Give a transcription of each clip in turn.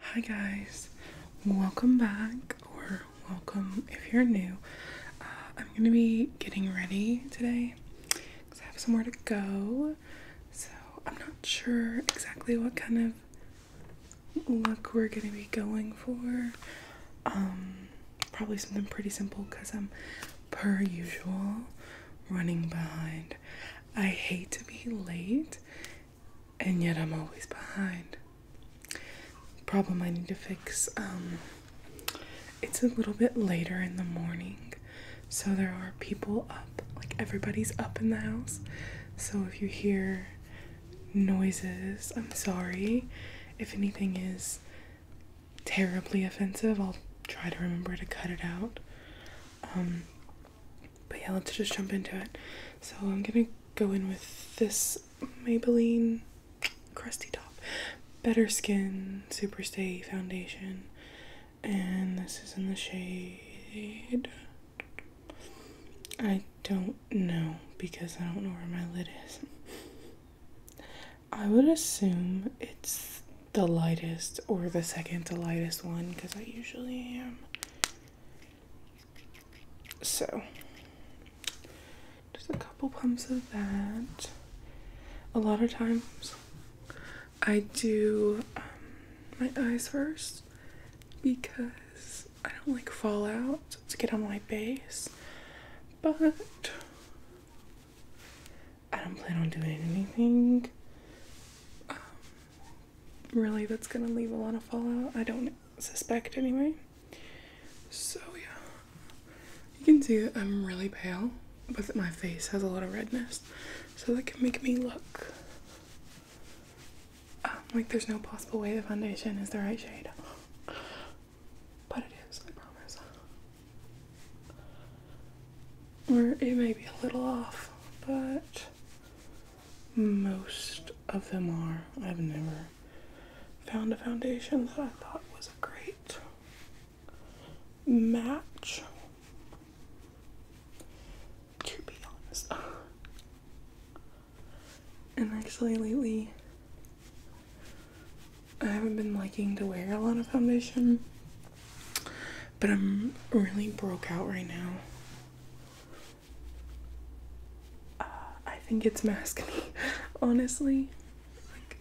Hi guys, welcome back, or welcome if you're new. Uh, I'm gonna be getting ready today because I have somewhere to go. So I'm not sure exactly what kind of look we're gonna be going for. Um, probably something pretty simple because I'm, per usual, running behind. I hate to be late and yet I'm always behind. Problem I need to fix. Um, it's a little bit later in the morning, so there are people up, like everybody's up in the house. So if you hear noises, I'm sorry. If anything is terribly offensive, I'll try to remember to cut it out. Um, but yeah, let's just jump into it. So I'm gonna go in with this Maybelline Crusty Top Better Skin Super Stay Foundation, and this is in the shade. I don't know because I don't know where my lid is. I would assume it's the lightest or the second to lightest one because I usually am. So, just a couple pumps of that. A lot of times I do um, my eyes first because I don't like fallout to get on my base, but I don't plan on doing anything um, really that's going to leave a lot of fallout. I don't suspect anyway. So yeah, you can see that I'm really pale, but my face has a lot of redness, so that can make me look um, like there's no possible way the foundation is the right shade. But it is, I promise. Or it may be a little off, but most of them are. I've never found a foundation that I thought was a great match. To be honest. And actually, lately, I haven't been liking to wear a lot of foundation, but I'm really broke out right now. Uh, I think it's mask acne. honestly. Like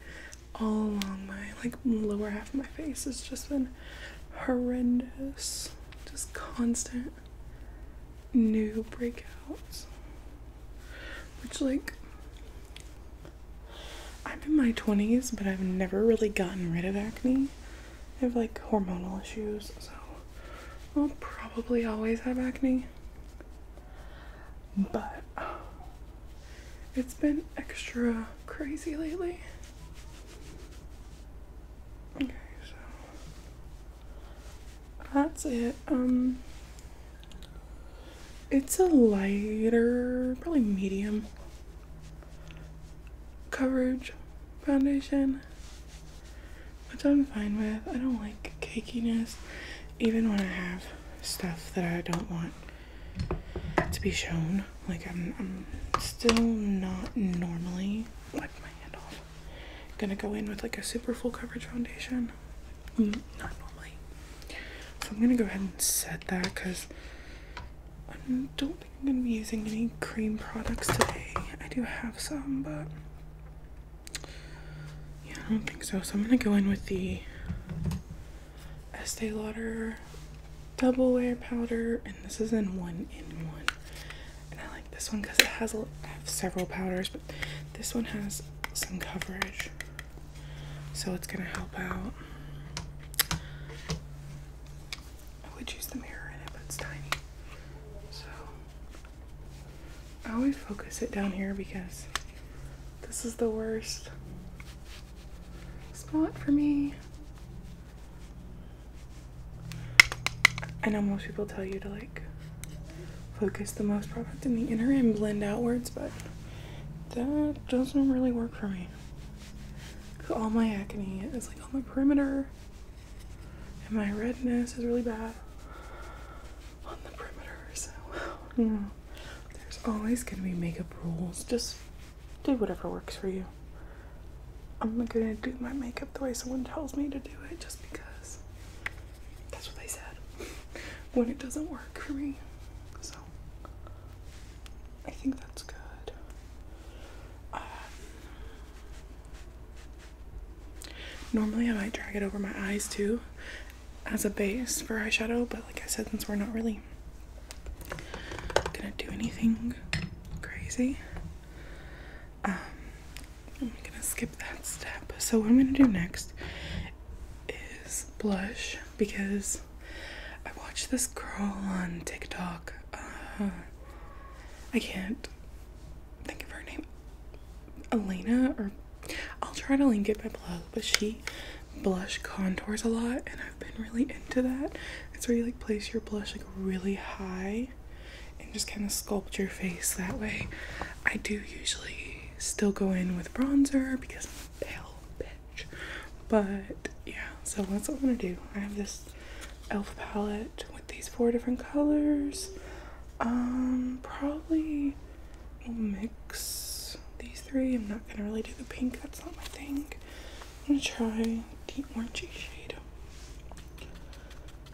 all along my like lower half of my face has just been horrendous. Just constant new breakouts. Which like I'm in my 20s, but I've never really gotten rid of acne. I have like hormonal issues, so I'll probably always have acne. But it's been extra crazy lately. Okay, so that's it. Um it's a lighter, probably medium coverage foundation, which I'm fine with. I don't like cakiness, even when I have stuff that I don't want to be shown. Like, I'm, still not normally, wipe my hand off, gonna go in with like a super full coverage foundation. Mm, not normally. So I'm gonna go ahead and set that because I um, don't think I'm going to be using any cream products today. I do have some, but yeah, I don't think so. So I'm going to go in with the Estee Lauder double wear powder, and this is in one in one. And I like this one because it has several powders, but this one has some coverage, so it's going to help out. I would use the mirror in it, but it's tiny. So I always focus it down here because this is the worst spot for me. I know most people tell you to like focus the most product in the inner and blend outwards, but that doesn't really work for me all my acne is like on the perimeter and my redness is really bad on the perimeter so you there's always gonna be makeup rules just do whatever works for you i'm not gonna do my makeup the way someone tells me to do it just because that's what they said when it doesn't work for me so i think that's good normally, I might drag it over my eyes too as a base for eyeshadow, but like I said, since we're not really gonna do anything crazy, um, I'm gonna skip that step. So, what I'm gonna do next is blush because I watched this girl on TikTok. Uh, I can't think of her name. Elena, or I'll try to link it by below, but she blush contours a lot, and I've been really into that. It's where you like place your blush like really high and just kind of sculpt your face that way. I do usually still go in with bronzer because I'm pale but yeah, so that's what I'm gonna do. I have this elf palette with these four different colors. Um, probably mix these three. I'm not gonna really do the pink, that's not my thing. I'm gonna try the orangey shade.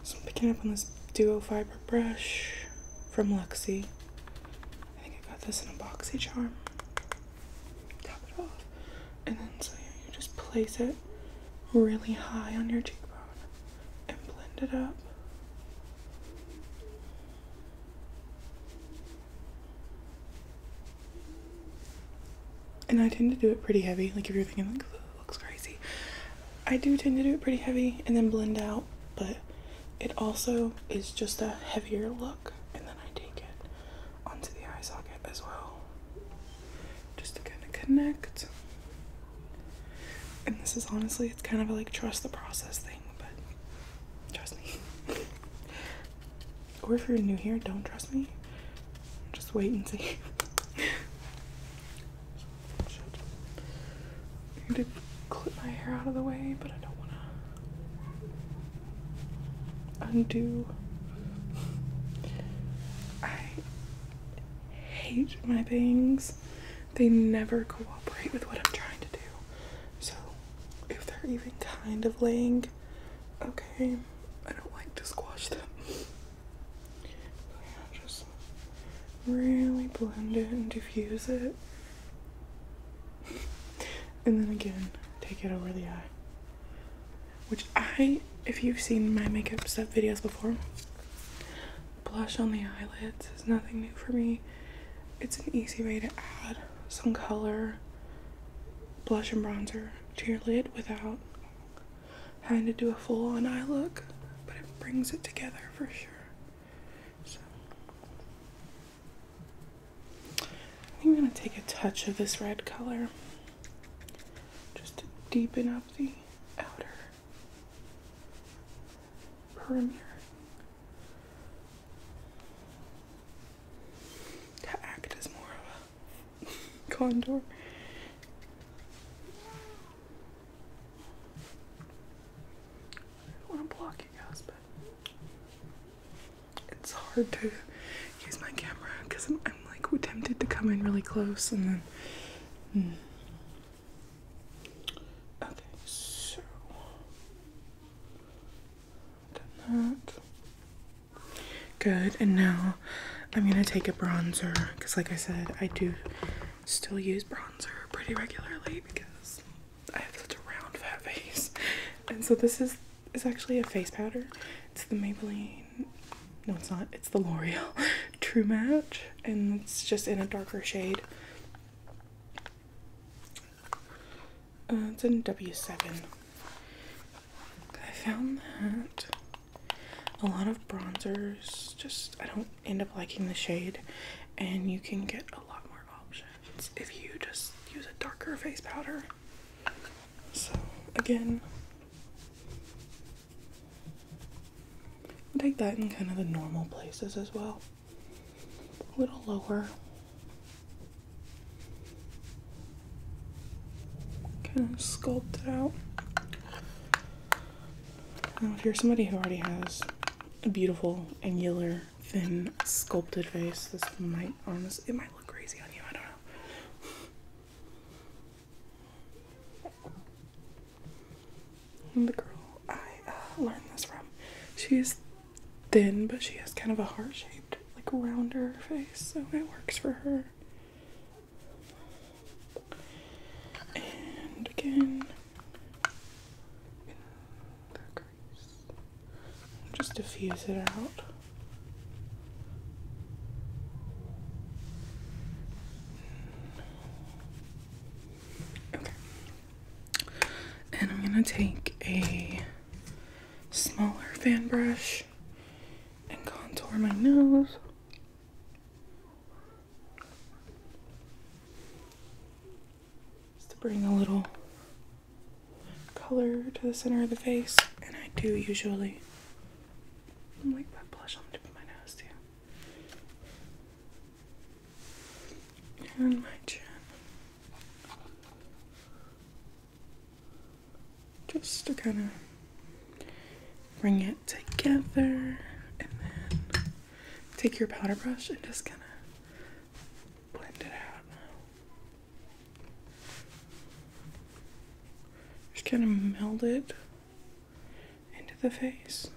So I'm picking up on this duo fiber brush from Luxie. I think I got this in a boxy charm top it off. And then so you just place it really high on your cheekbone and blend it up. And I tend to do it pretty heavy. Like if you're thinking like looks crazy. I do tend to do it pretty heavy and then blend out, but it also is just a heavier look and then I take it onto the eye socket as well just to kind of connect. And this is honestly, it's kind of like trust the process thing, but trust me. or if you're new here, don't trust me. Just wait and see. I need to clip my hair out of the way, but I don't want to undo. I hate my bangs. They never cooperate with what I'm trying to do. So if they're even kind of laying, okay, I don't like to squash them. So yeah, just really blend it and diffuse it. and then again, take it over the eye which I, if you've seen my makeup step videos before, blush on the eyelids is nothing new for me. It's an easy way to add some color, blush and bronzer to your lid without having to do a full-on eye look, but it brings it together for sure. So. I think I'm going to take a touch of this red color just to deepen up the outer perimeter. To act as more of a contour. I want to block you guys, but it's hard to use my camera because I'm, I'm like tempted to come in really close and then. Hmm. Okay, so done that. Good, and now I'm gonna take a bronzer because, like I said, I do still use bronzer pretty regularly because I have such a round, fat face. And so, this is it's actually a face powder. It's the Maybelline, no, it's not, it's the L'Oreal True Match, and it's just in a darker shade. Uh, it's in W7. I found that a lot of bronzers just, I don't end up liking the shade, and you can get a lot more options if you just use a darker face powder. So, again, take that in kind of the normal places as well. A little lower. Kind of sculpt it out. Now, if you're somebody who already has a beautiful angular thin sculpted face. This might honestly, it might look crazy on you. I don't know. the girl I uh, learned this from, She's thin, but she has kind of a heart shaped, like rounder face, so it works for her. And again, just diffuse it out. Okay. And I'm going to take a smaller fan brush and contour my nose. Just to bring a little color to the center of the face, and I do usually. like that blush on the tip of my nose too. And my chin. Just to kind of bring it together, and then take your powder brush and just kind of blend it out. Just kind of meld it into the face.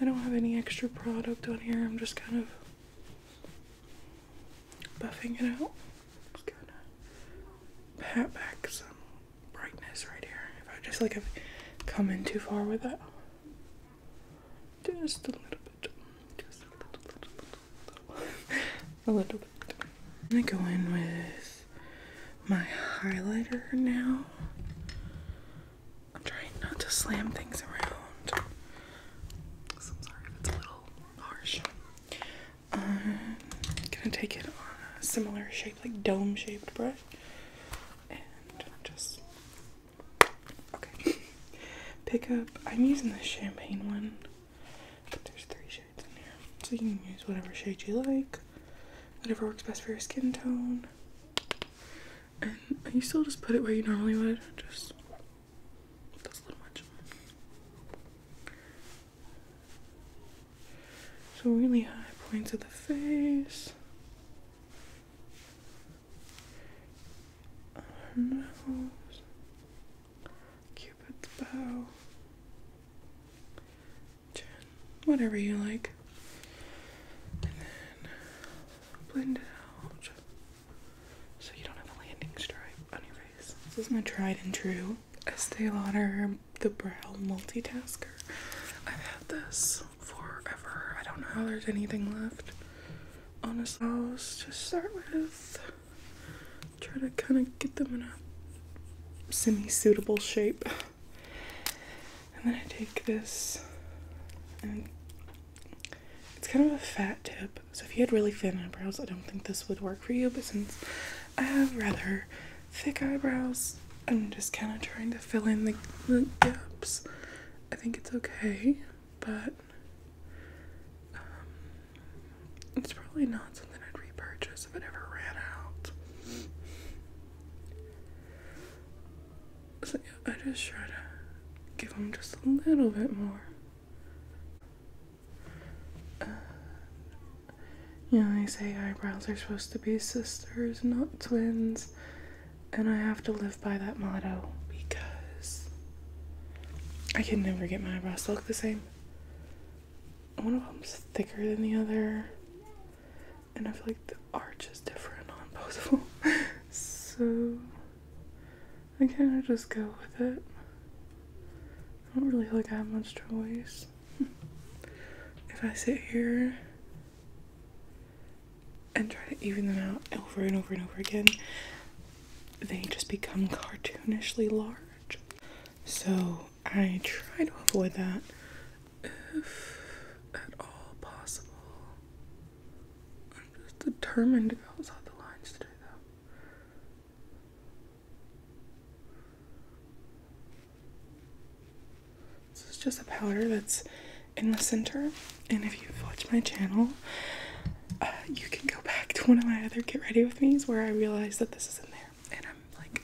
I don't have any extra product on here. I'm just kind of buffing it out. pat back some brightness right here. If I just like have come in too far with that. Just a little bit. Just a little, a little bit. I'm gonna go in with my highlighter now. I'm trying not to slam things around. I'm sorry if it's a little harsh. I'm um, gonna take it on a similar shape, like dome shaped brush, and just Okay. Pick up, I'm using the champagne one, but there's three shades in here. So you can use whatever shade you like, whatever works best for your skin tone. And you still just put it where you normally would, just that's a little much. So really high points of the face nose, Cupid's bow, whatever you like, and then blend it out so you don't have a landing stripe on your face. This is my tried and true Estee Lauder the brow multitasker. I've had this forever. I don't know how there's anything left. On I'll to start with try to kind of get them in a semi-suitable shape. And then I take this it's kind of a fat tip. So if you had really thin eyebrows, I don't think this would work for you. But since I have rather thick eyebrows, I'm just kind of trying to fill in the gaps. I think it's okay but um, it's probably not something I'd repurchase if it ever ran out. So I just try to give them just a little bit more. Uh, you know, they say eyebrows are supposed to be sisters, not twins. And I have to live by that motto because I can never get my eyebrows to look the same. One of them's thicker than the other. And I feel like the arch is different on both of them. so I kind of just go with it. I don't really feel like I have much choice. if I sit here and try to even them out over and over and over again, they just become cartoonishly large. So I try to avoid that if at all possible. I'm just determined to go outside the lines today, though. This is just a powder that's in the center. And if you've watched my channel, uh, you can go back to one of my other Get Ready With Me's where I realized that this is in there. And I'm like,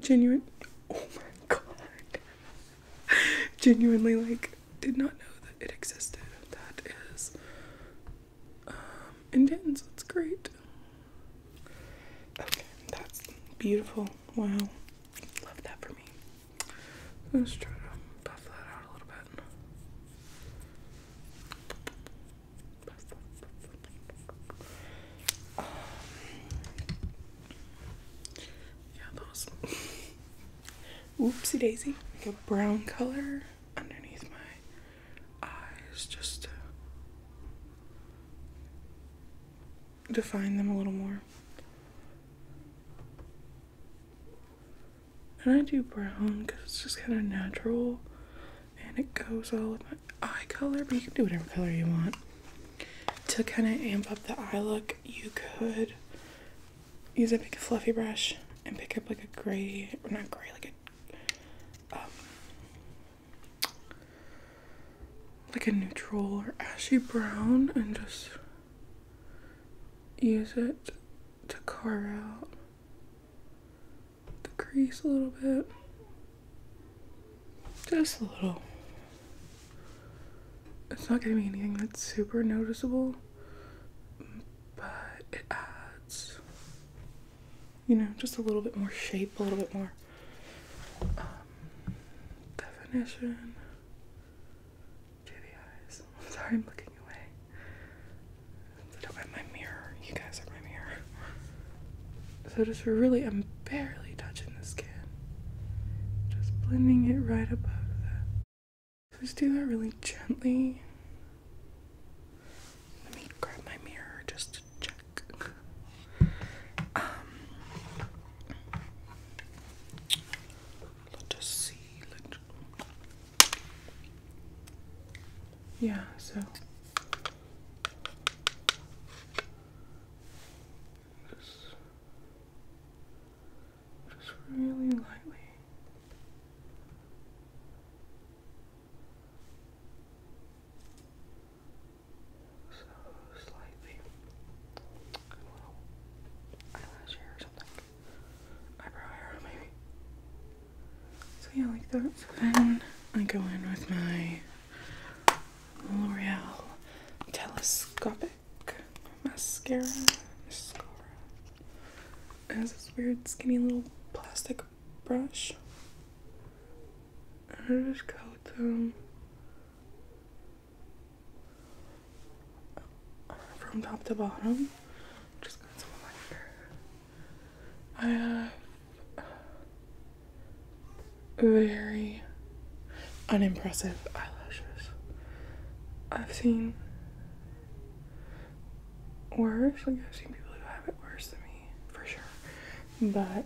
genuine. Oh my god. Genuinely, like, did not know that it existed. That is um, intense. It's great. Okay, that's beautiful. Wow. Love that for me. Let's try to buff that out a little bit. yeah, those. Oopsie daisy. brown color underneath my eyes just to define them a little more. And I do brown because it's just kind of natural and it goes all with my eye color, but you can do whatever color you want. To kind of amp up the eye look, you could use a big fluffy brush and pick up like a gray, not gray, like a, um, like a neutral or ashy brown and just use it to carve out the crease a little bit. Just a little. It's not gonna be anything that's super noticeable, but it adds, you know, just a little bit more shape, a little bit more um, definition. J.B. eyes. sorry, I'm looking away. I don't have my mirror. You guys are my mirror. So just really, I'm barely touching the skin. Just blending it right above that. Just do that really gently. Let me grab my mirror just to check. Um, let us see. Yeah, so just, just really lightly. So slightly eyelash hair or something. Eyebrow hair, maybe. So yeah, like that. So then I go in with my L'Oreal telescopic mascara. Mascara. It has this weird skinny little plastic brush. And I just coat them from top to bottom. Just got some liner. very unimpressive eyelashes. I've seen worse, like I've seen people who have it worse than me, for sure. But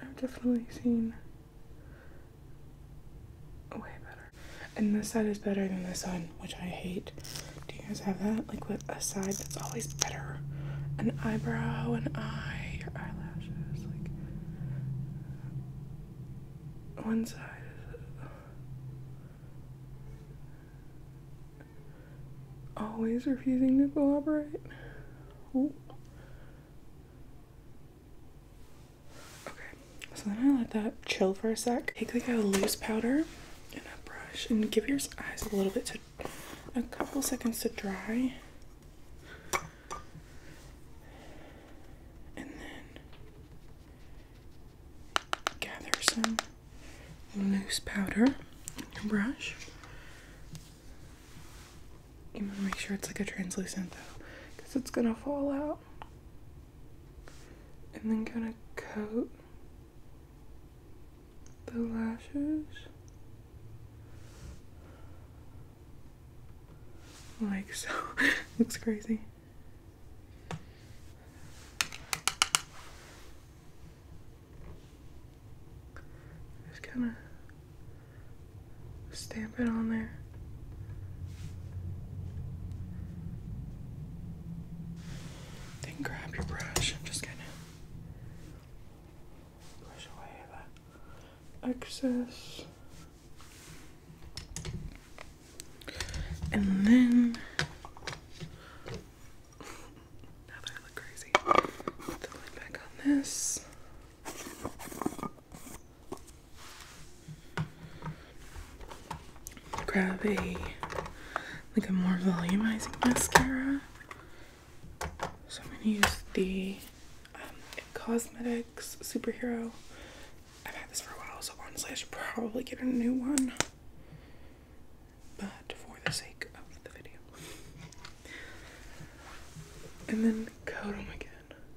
I've definitely seen Way better. And this side is better than this side, which I hate. Do you guys have that? Like with a side that's always better. An eyebrow, an eye, your eyelashes, like uh, one side is uh, always refusing to cooperate. Okay, so then I let that chill for a sec. Take like a loose powder and a brush and give your eyes a little bit to a couple seconds to dry. And then gather some loose powder in brush. You want to make sure it's like a translucent though, because it's gonna fall out. And then gonna coat the lashes like so. Looks crazy. Just kind of Stamp it on there. Then grab your brush. I'm just going brush away the excess. And then now that I look crazy, put the lid back on this grab a like a more volumizing mascara. So I'm gonna use the um, Cosmetics Superhero. I've had this for a while, so honestly I should probably get a new one. But for the sake of the video. And then coat them again.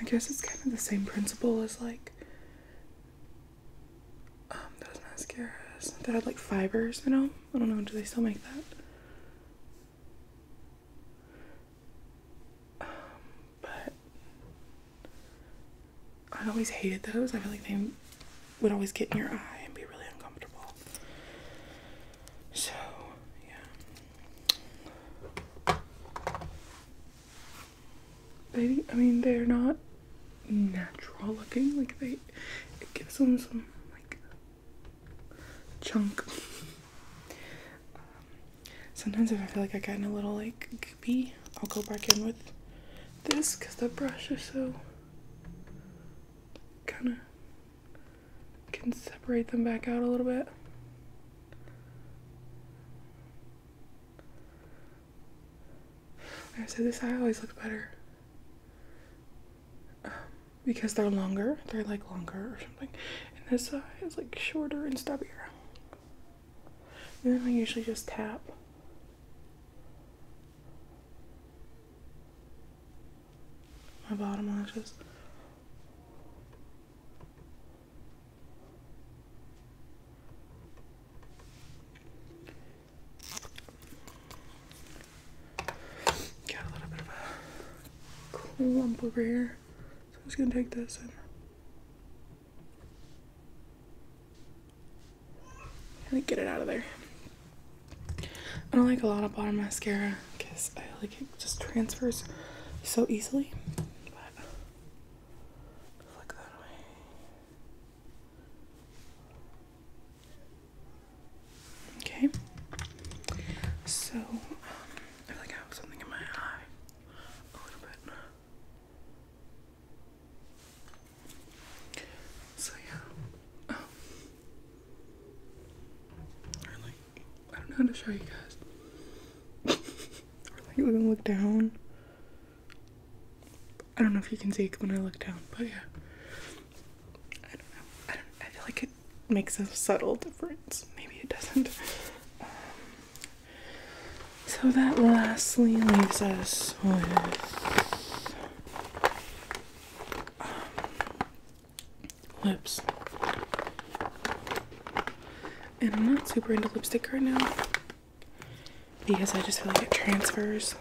I guess it's kind of the same principle as like um, those mascaras that had like fibers you know. I don't know, do they still make that? Um, but I always hated those. I feel like they would always get in your eye and be really uncomfortable. So yeah. They, I mean, they're not natural looking. Like they, it gives them some like chunk. Um, sometimes if I feel like I've gotten a little like goopy, I'll go back in with this because the brush is so kind of can separate them back out a little bit. I said, this eye always looks better um, because they're longer. They're like longer or something. And this eye is like shorter and stubbier. And then I usually just tap. My bottom lashes. Got a little bit of a clump over here. So I'm just gonna take this and kind of get it out of there. I don't like a lot of bottom mascara because I like it just transfers so easily. Okay, so um, I feel like I have something in my eye a little bit. So yeah, um, I don't know how to show you guys. or like even look down. I don't know if you can see when I look down, but yeah. I don't know. I, don't, I feel like it makes a subtle difference. Maybe it doesn't. Um, so that lastly leaves us with um, lips. And I'm not super into lipstick right now because I just feel like it transfers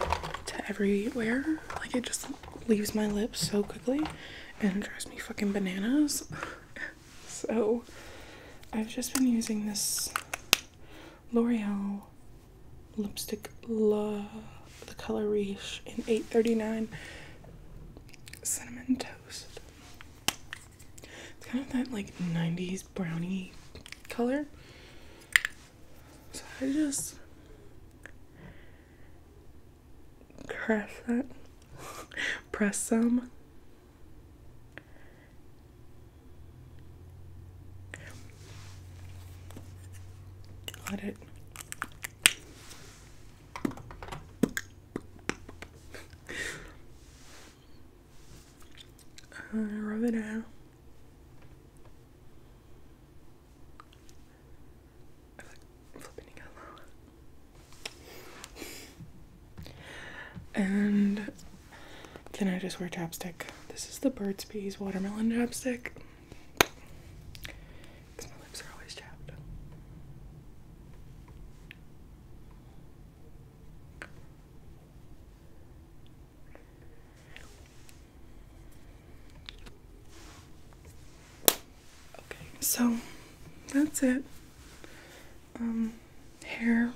to everywhere. Like it just leaves my lips so quickly and drives me fucking bananas. so I've just been using this L'Oreal lipstick love the color Riche in 839 cinnamon toast. It's kind of that like 90s brownie color. So I just press that, press some. Let it uh, rub it out. and then I just wear chapstick. This is the Burt's Bees watermelon chapstick because my lips are always chapped. Okay, so that's it. Um, hair,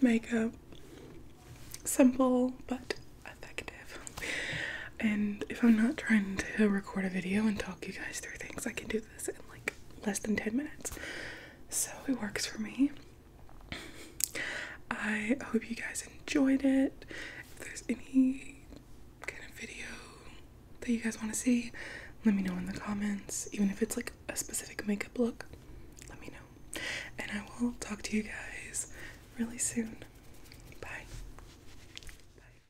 makeup, simple but effective. And if I'm not trying to record a video and talk you guys through things, I can do this in like less than 10 minutes. So it works for me. I hope you guys enjoyed it. If there's any kind of video that you guys want to see, let me know in the comments. Even if it's like a specific makeup look, let me know. And I will talk to you guys really soon. Bye. Bye.